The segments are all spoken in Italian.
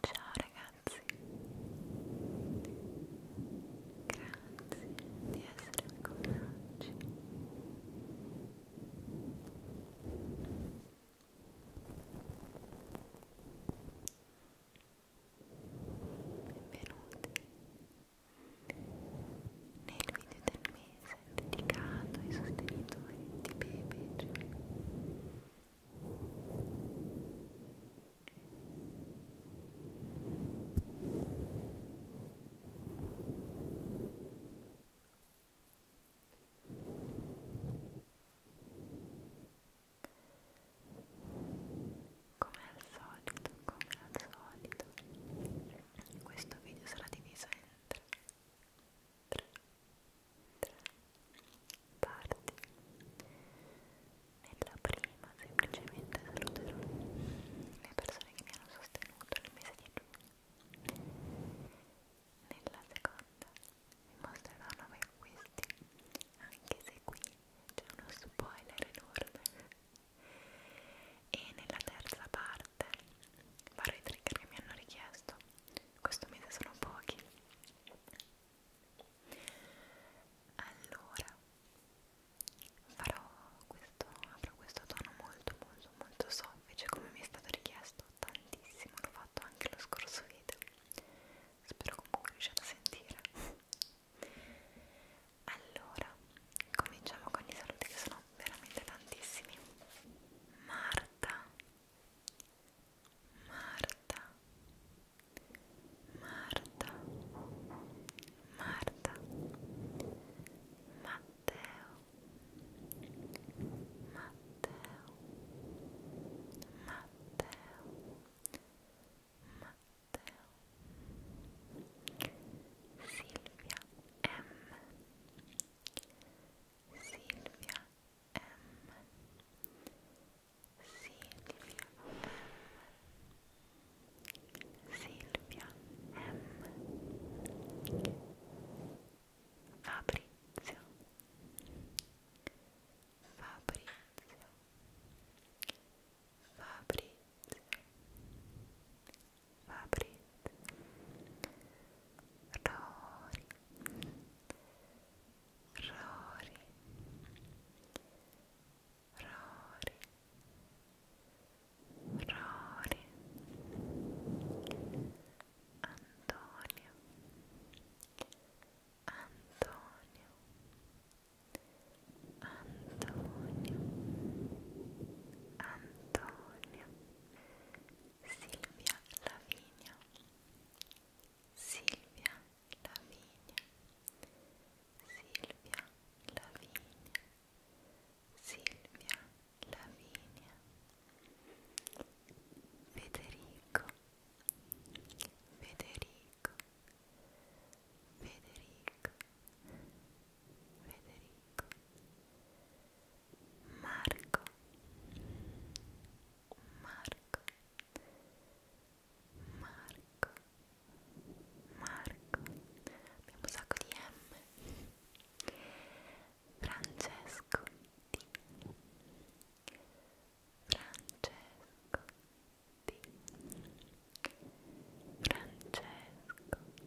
Ciao ragazzi, grazie di essere con me oggi. Benvenuti nel video del mese dedicato ai sostenitori di Pepe. Come al solito, come al solito, questo video sarà diviso in tre tre, tre parti. Nella prima semplicemente saluterò le persone che mi hanno sostenuto nel mese di giugno. Nella seconda vi mostrerò nuovi acquisti, anche se qui c'è uno spoiler enorme. E nella terza parte farò i trigger che mi hanno richiesto questo mese sono pochi allora farò questo, avrò questo tono molto molto molto soffice come mi è stato richiesto tantissimo l'ho fatto anche lo scorso video spero comunque riusciate a sentire allora cominciamo con i saluti che sono veramente tantissimi Marta Marta, Marta, Marta, Matteo, Matteo, Matteo, Matteo, Silvia M. Silvia M Silvia M Silvia M Fabrizio Fabrizio Fabrizio Fabrizio Rory Rory Rory Rory Antonio Antonio Antonio Antonio Silvia Lavinia Silvia Lavinia Silvia Lavinia Silvia Lavinia Federico Federico Federico Federico Federico Marco Marco Marco Marco abbiamo un sacco di M Francesco D Francesco D Francesco D Francesco D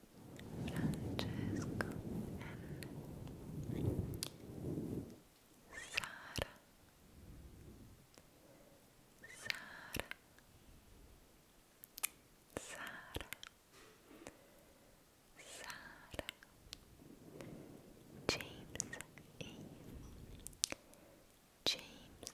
Francesco N Sara Sara Sara Sara James E James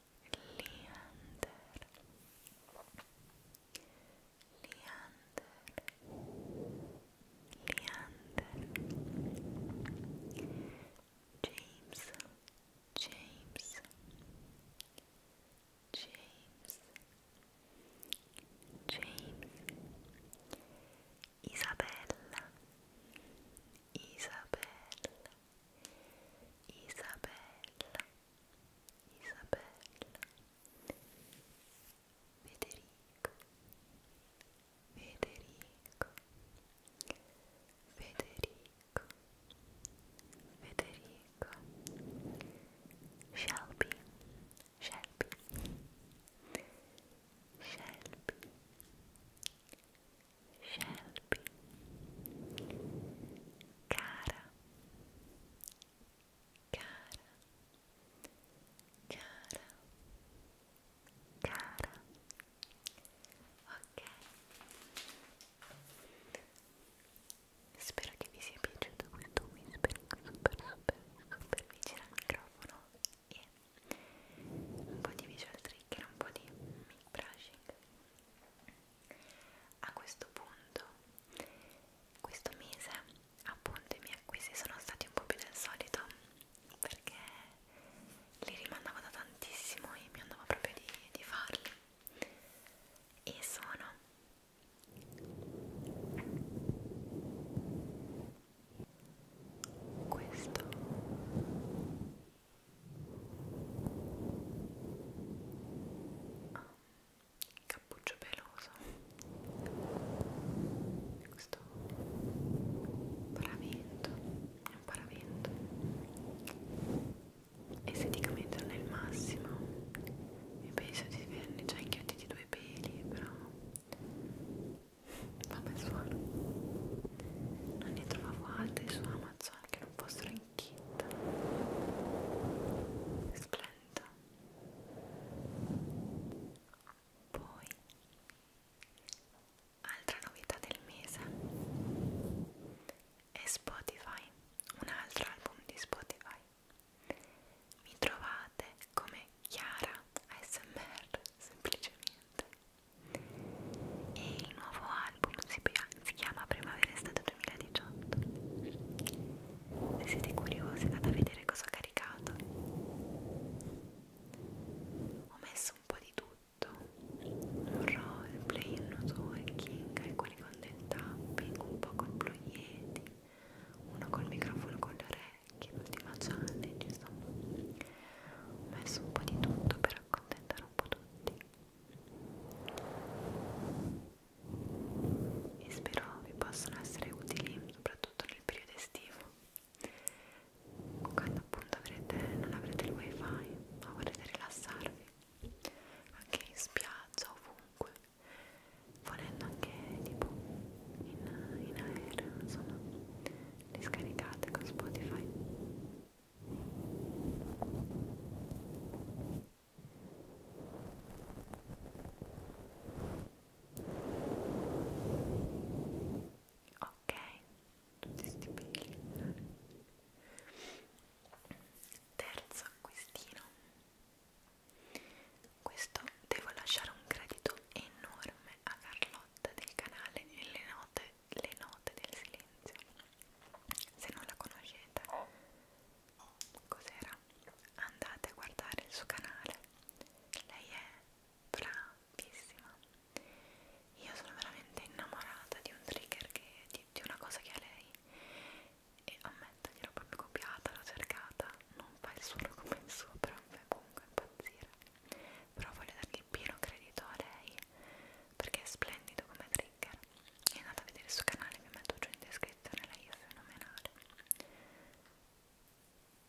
Leander Leander Leander James James James James Isabella Isabella Isabella, Isabella, Federico, Federico, Federico, Federico, Shelby, Shelby, Shelby. Shelby, Shelby cara cara cara cara ok spero che vi sia piaciuto questo whispering super super super vicino al microfono e un po' di visual trigger, un po' di mic brushing a questo punto, questo mese, appunto, i miei acquisti sono stati un po' più del solito perché li rimandavo da tantissimo e mi andava proprio di, di farli. E sono questo ah, cappuccio peloso questo paravento è un paravento esteticamente non è il massimo mi penso di verne già inghiottiti due peli però vabbè suono non ne trovavo altri su Amazon che non fossero Arricchita, splenda. Poi, altra novità del mese è Spotify, un altro album di Spotify. Mi trovate come Chiara ASMR semplicemente. E il nuovo album si, si chiama Primavera Estate 2018 se siete curiosi andate a vedere cosa ho caricato ho messo un po' di tutto un roleplay, un networking, alcuni con del tapping, un po' con blu yeti uno col microfono con le orecchie, l'ultima challenge insomma ho messo un po' di tutto per accontentare un po' tutti e spero vi possano essere utili soprattutto nel periodo estivo quando appunto avrete, non avrete il wifi ma vorrete rilassarvi anche in spiaggia ovunque volendo anche tipo in, in aereo insomma li scaricate con Spotify Ok, tutti sti peli. Terzo acquistino. Questo devo lasciare un credito enorme a Carlotta del canale e le note note, le note del silenzio. Se non la conoscete, cos'era? Andate a guardare il suo canale. Lei è bravissima. Io sono veramente innamorata di un trigger che di, di una cosa che ha lei e ammetto gliel'ho proprio copiata, l'ho cercata, non fa il solo come il suo, però mi fa comunque impazzire. Però voglio dargli il pieno credito a lei perché è splendido come trigger e andate a vedere il suo canale, vi metto giù in descrizione, lei è fenomenale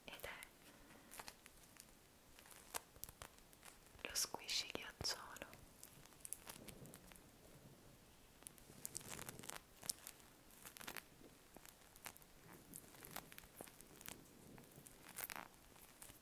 ed è lo squishy ghiacciolo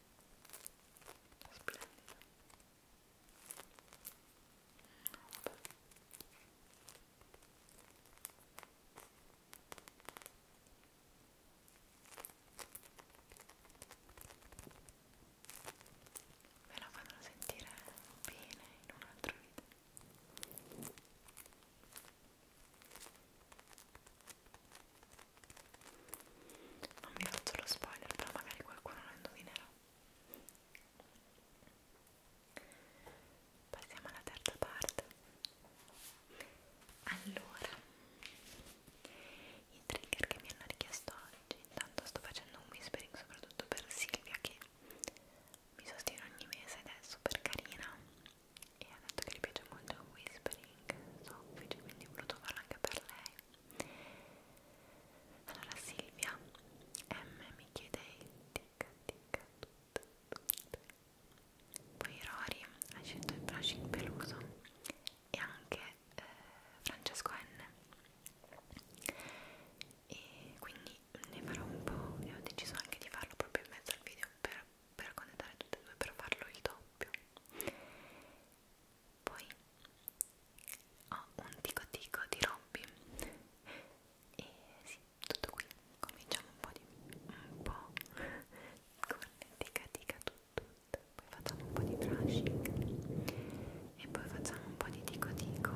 splendido Vabbè. Me la fanno sentire bene in un altro video non vi faccio lo spoiler però magari qualcuno lo indovinerà passiamo alla terza parte allora i trigger che mi hanno richiesto oggi intanto sto facendo un whispering soprattutto per Silvia che mi sostiene ogni mese ed è super carina e ha detto che le piace molto il whispering soffice quindi ho voluto farlo anche per lei allora Silvia M mi chiede il tic tic tutto, tutto. Poi Rory ha scelto il brushing peluso e anche eh, Francesco N e quindi ne farò un po' e ho deciso anche di farlo proprio in mezzo al video per, per condensare tutte e due per farlo il doppio poi ho un tico tico di Robby e sì, tutto qui. Cominciamo un po' di un po' con tica tica tutto, tutto. Poi facciamo un po' di brushing e poi facciamo un po' di tico tico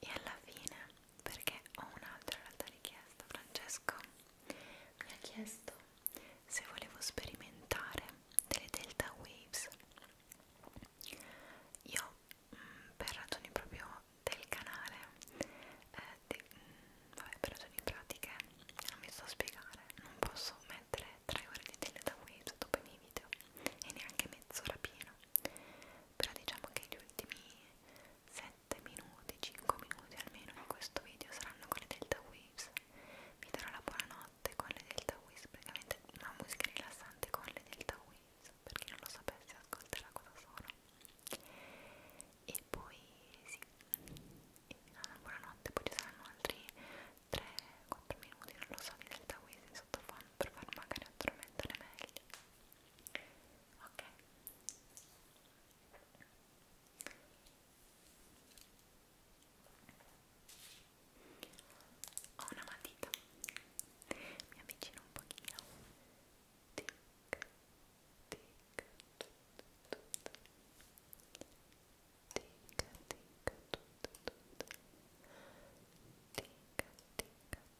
e alla fine perché ho un'altra realtà richiesta Francesco mi ha chiesto se volevo sperimentare delle delta waves io mh, mm, per ragioni proprio del canale eh, de, mh, mm, vabbè, per ragioni pratiche non mi sto a spiegare non posso mettere 3 ore di delta waves dopo i miei video e neanche mezz'ora piena però diciamo che gli ultimi 7 minuti 5 minuti almeno in questo video saranno con le delta waves vi darò la buonanotte rilassante con le Delta Wiz, praticamente una musica rilassante con le Delta Wiz, per chi non lo sapesse ascolterà cosa sono. E poi sì, una buonanotte, poi ci saranno altri 3-4 minuti, non lo so, di Delta Wiz in sottofondo per far magari addormentare meglio. Ok ho una matita mi avvicino un pochino tic tic tut, tut, tut. tic tic tut, tut, tut. tic tic tut, tut. Tic, tic,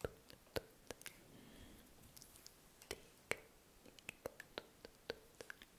tut, tut.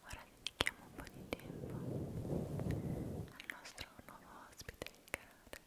Ora dedichiamo un po' di tempo al nostro nuovo ospite del canale.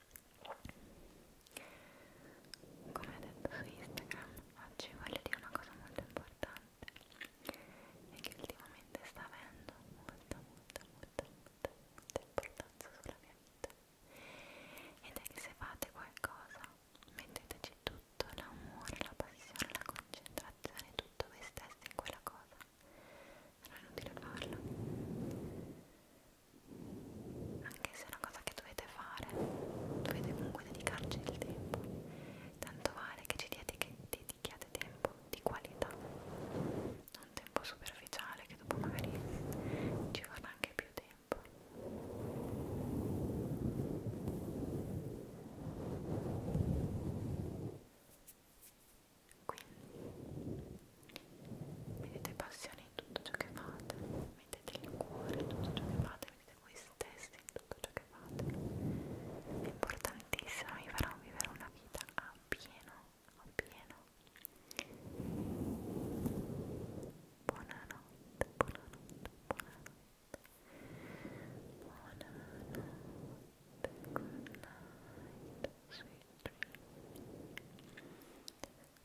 come ho detto su Instagram oggi voglio dire una cosa molto importante e che ultimamente sta avendo molta molta molta molta, molta importanza sulla mia vita ed è che se fate qualcosa metteteci tutto l'amore, la passione, la concentrazione, tutto voi stessi in quella cosa non è inutile farlo anche se è una cosa che dovete fare dovete comunque dedicarci del tempo tanto vale che ci dedichiate tempo di qualità non tempo superficiale che dopo magari ci vorrà anche più tempo quindi mettete passione in tutto ciò che fate mettete il cuore in tutto ciò che fate mettete voi stessi in tutto ciò che fate è importantissimo vi farà vivere una vita a pieno a pieno buonanotte buonanotte buonanotte buonanotte good night sweet dreams